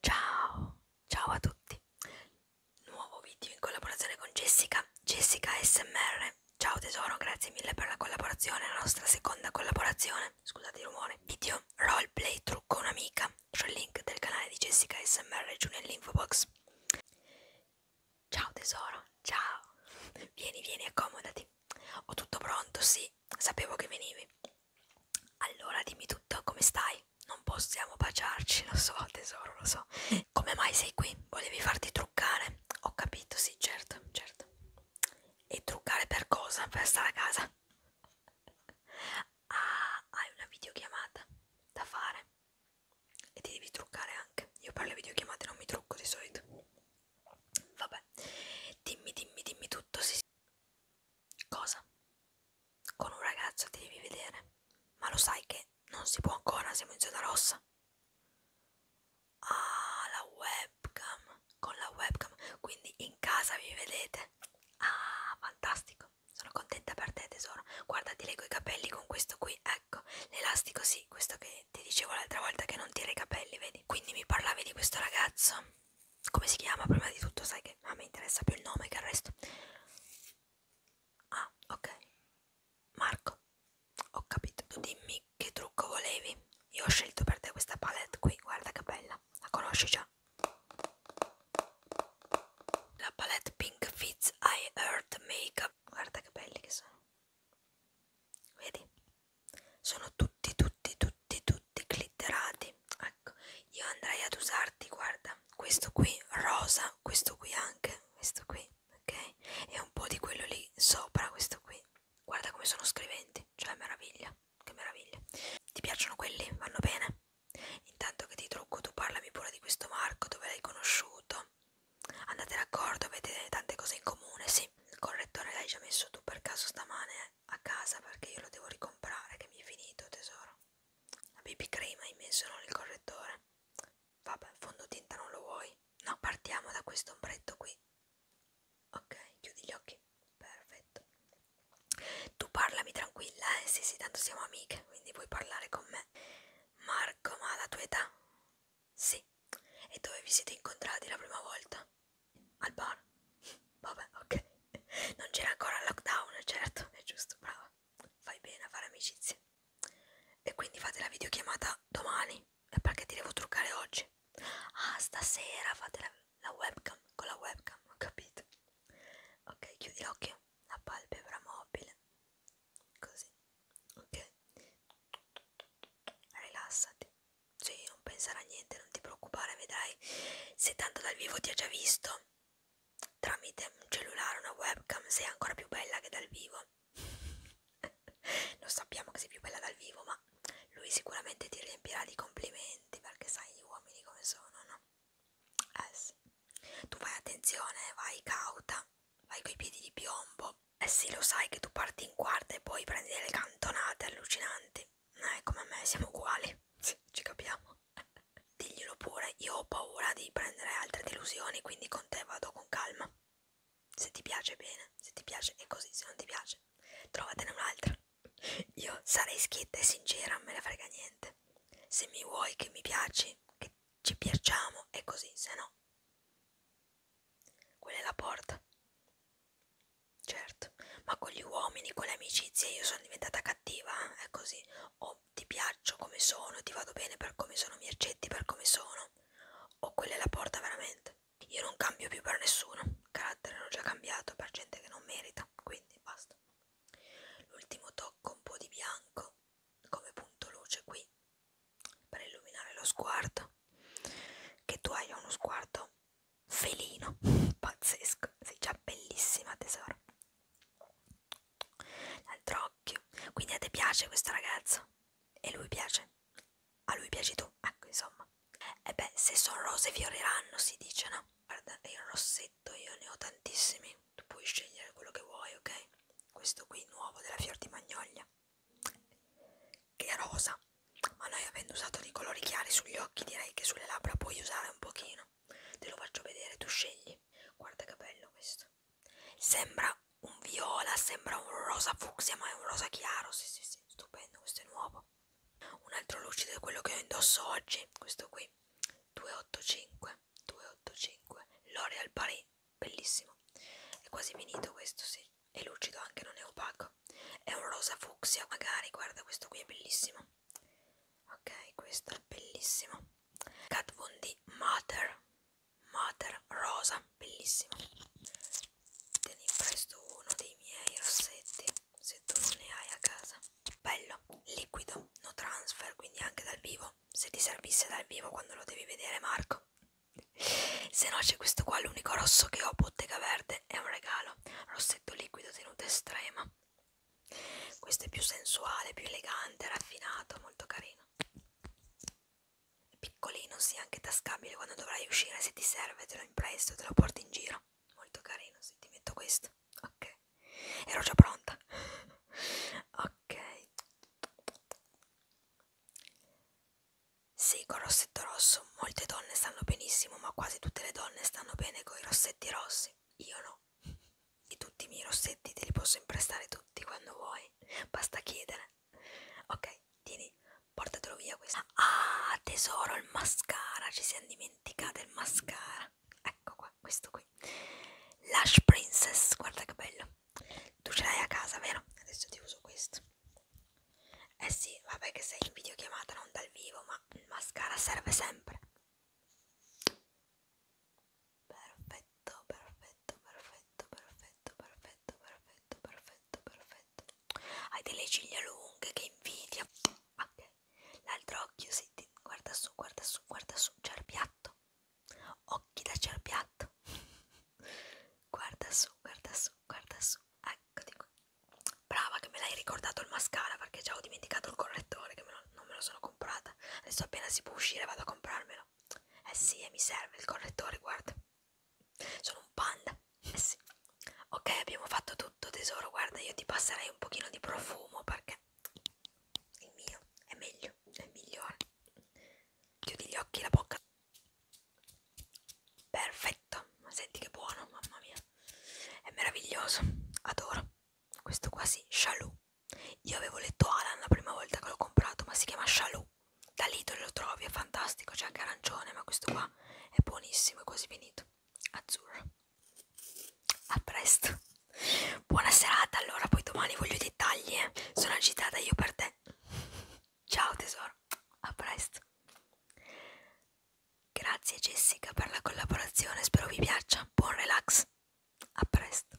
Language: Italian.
Ciao, ciao a tutti. Nuovo video in collaborazione con Jessica, Jessica SMR. Ciao tesoro, grazie mille per la collaborazione, la nostra seconda collaborazione. Scusate il rumore. Video roleplay trucco un'amica. C'è il link del canale di Jessica SMR giù nell'info box. Ciao tesoro, ciao. Vieni, vieni, accomodati. Ho tutto pronto, sì. Sapevo che venivi. Allora dimmi tutto, come stai? Non possiamo baciarci, lo so tesoro, lo so. Come mai sei qui? Volevi farti truccare? Ho capito, sì, certo, certo. E truccare per cosa? Per stare a casa? Ah, hai una videochiamata da fare e ti devi truccare anche. Io per le videochiamate non mi trucco di solito. Vabbè, dimmi, dimmi, dimmi tutto. Sì, Cosa? Con un ragazzo ti devi vedere, ma lo sai che non si può ancora, siamo in zona rossa. Ah, la webcam. Con la webcam, quindi in casa vi vedete. Ah, fantastico. Sono contenta per te, tesoro. Guarda, ti leggo i capelli con questo qui. Ecco, l'elastico sì, questo che ti dicevo l'altra volta che non tira i capelli, vedi? quindi mi parlavi di questo ragazzo. Come si chiama? Prima di tutto, sai che a me interessa più il nome che il resto. Ah, ok. Marco, ho capito. Tu dimmi che trucco volevi. Io ho scelto per te questa palette qui. Guarda che bella. La conosci già? La palette Pink Fits I Earth Makeup. Guarda che belli che sono. Vedi? Sono tutti, tutti, tutti, tutti glitterati. Ecco, io andrei ad usarti, guarda, questo qui rosa, questo qui anche, questo qui, ok? E un po' di quello lì sopra, questo qui. Guarda come sono scriventi, cioè meraviglia, che meraviglia. Ti piacciono quelli? Vanno bene? Intanto che ti trucco, tu parlami pure di questo Marco, dove l'hai conosciuto, Andate d'accordo, avete tante cose in comune, sì. Il correttore l'hai già messo tu per caso stamane a casa perché io lo devo ricomprare che mi è finito, tesoro. La BB cream hai messo non il correttore. Vabbè, fondotinta non lo vuoi? No, partiamo da questo ombretto qui. Ok, chiudi gli occhi. Perfetto. Tu parlami tranquilla, eh? Sì, sì, tanto siamo amiche, quindi puoi parlare con me. Marco, ma la tua età? Sì. E dove vi siete incontrati la prima volta? Al bar? Vabbè, ok. Non c'era ancora il lockdown, certo, è giusto, brava. Fai bene a fare amicizia. E quindi fate la videochiamata domani? È perché ti devo truccare oggi. Ah, stasera fate la, la webcam, con la webcam, ho capito. Ok, chiudi l'occhio, la palpebra mobile così, ok? Rilassati, sì, non pensare a niente, non ti preoccupare, vedrai se tanto dal vivo ti ha già visto tramite un cellulare, una webcam, sei ancora più bella che dal vivo. Lo sappiamo che sei più bella dal vivo, ma lui sicuramente ti riempirà di complimenti perché sai gli uomini come sono, no? Eh sì. Tu fai attenzione, vai cauta, vai coi piedi di piombo. Eh sì, lo sai che tu parti in quarta e poi prendi delle cantonate allucinanti. Eh, come me, siamo uguali. Sì, ci capiamo. Diglielo pure, io ho paura di prendere altre delusioni, quindi con te vado con calma. Se ti piace bene, se ti piace è così, se non ti piace, trovatene un'altra. Io sarei schietta e sincera, me ne frega niente. Se mi vuoi che mi piaci, che ci piacciamo e così, se no. Quella è la porta. Certo, ma con gli uomini, con le amicizie io sono diventata cattiva, eh? è così. O ti piaccio come sono, ti vado bene per come sono, mi accetti per come sono. O quella è la porta veramente. Io non cambio più per nessuno, carattere l'ho già cambiato per gente che non merita, quindi basta. L'ultimo tocco un po' di bianco, come punto luce qui, per illuminare lo sguardo, che tu hai uno sguardo felino, pazzesco, sei già bellissima tesoro. L'altro occhio, quindi a te piace questo ragazzo? E lui piace? A lui piaci tu? Ecco, insomma. E eh beh, se sono rose fioriranno, si dice, no? Guarda, è il rosso mazzetto io ne ho tantissimi tu puoi scegliere quello che vuoi ok questo qui nuovo della fior di magnolia che è rosa ma noi avendo usato dei colori chiari sugli occhi direi che sulle labbra puoi usare un pochino te lo faccio vedere tu scegli guarda che bello questo sembra un viola sembra un rosa fucsia ma è un rosa chiaro sì sì sì stupendo questo è nuovo un altro lucido è quello che ho indosso oggi questo qui 285 285 L'Oreal Paris bellissimo è quasi finito questo sì è lucido anche non è opaco è un rosa fucsia magari guarda questo qui è bellissimo ok questo è bellissimo Kat Von D Mater Mater rosa bellissimo te ne presto uno dei miei rossetti se tu non ne hai a casa bello liquido no transfer quindi anche dal vivo se ti servisse dal vivo quando lo devi vedere Marco se no c'è questo qua l'unico rosso che ho bottega verde è un regalo rossetto liquido tenuta estrema questo è più sensuale più elegante raffinato molto carino piccolino sì anche tascabile quando dovrai uscire se ti serve te lo impresto te lo porti in giro molto carino se ti metto questo ok ero già pronta ok sì con rossetto rosso molte donne stanno benissimo ma quasi tutte le donne stanno bene con i rossetti rossi io no e tutti i miei rossetti te li posso imprestare tutti quando vuoi basta chiedere ok tieni portatelo via questo ah tesoro il mascara ci siamo dimenticate il mascara ecco qua questo qui Lash Princess guarda che bello tu ce l'hai a casa vero? adesso ti uso questo eh sì vabbè che sei in videochiamata non dal vivo ma il mascara serve sempre perfetto perfetto perfetto perfetto perfetto perfetto, perfetto, perfetto, perfetto. Hai delle ciglia lunghe, che invidia. Ok, l'altro occhio, senti, guarda su, guarda su, guarda su, cerbiatto. Occhi da cerbiatto. guarda su, guarda su, guarda su. Eccoti qui. Brava che me l'hai ricordato il mascara perché già ho dimenticato il correttore che me lo, non me lo sono comprata. Adesso appena si può uscire vado a comprarmelo. Eh sì, e mi serve il correttore, guarda. Sono un panda. Eh sì. Ok, abbiamo fatto tutto tesoro. Guarda, io ti passerei un pochino di profumo perché il mio è meglio, è migliore. Chiudi gli occhi, la bocca. Perfetto. Ma senti che buono, mamma mia. È meraviglioso. Adoro. Questo qua si sì, Shalou. Io avevo letto Alan la prima volta che l'ho comprato, ma si chiama Shalou da Lidl lo trovi, è fantastico, c'è anche arancione, ma questo qua è buonissimo, è quasi finito. Azzurro. A presto. Buona serata, allora poi domani voglio dettagli, eh. sono agitata io per te. Ciao tesoro, a presto. Grazie Jessica per la collaborazione, spero vi piaccia. Buon relax. A presto.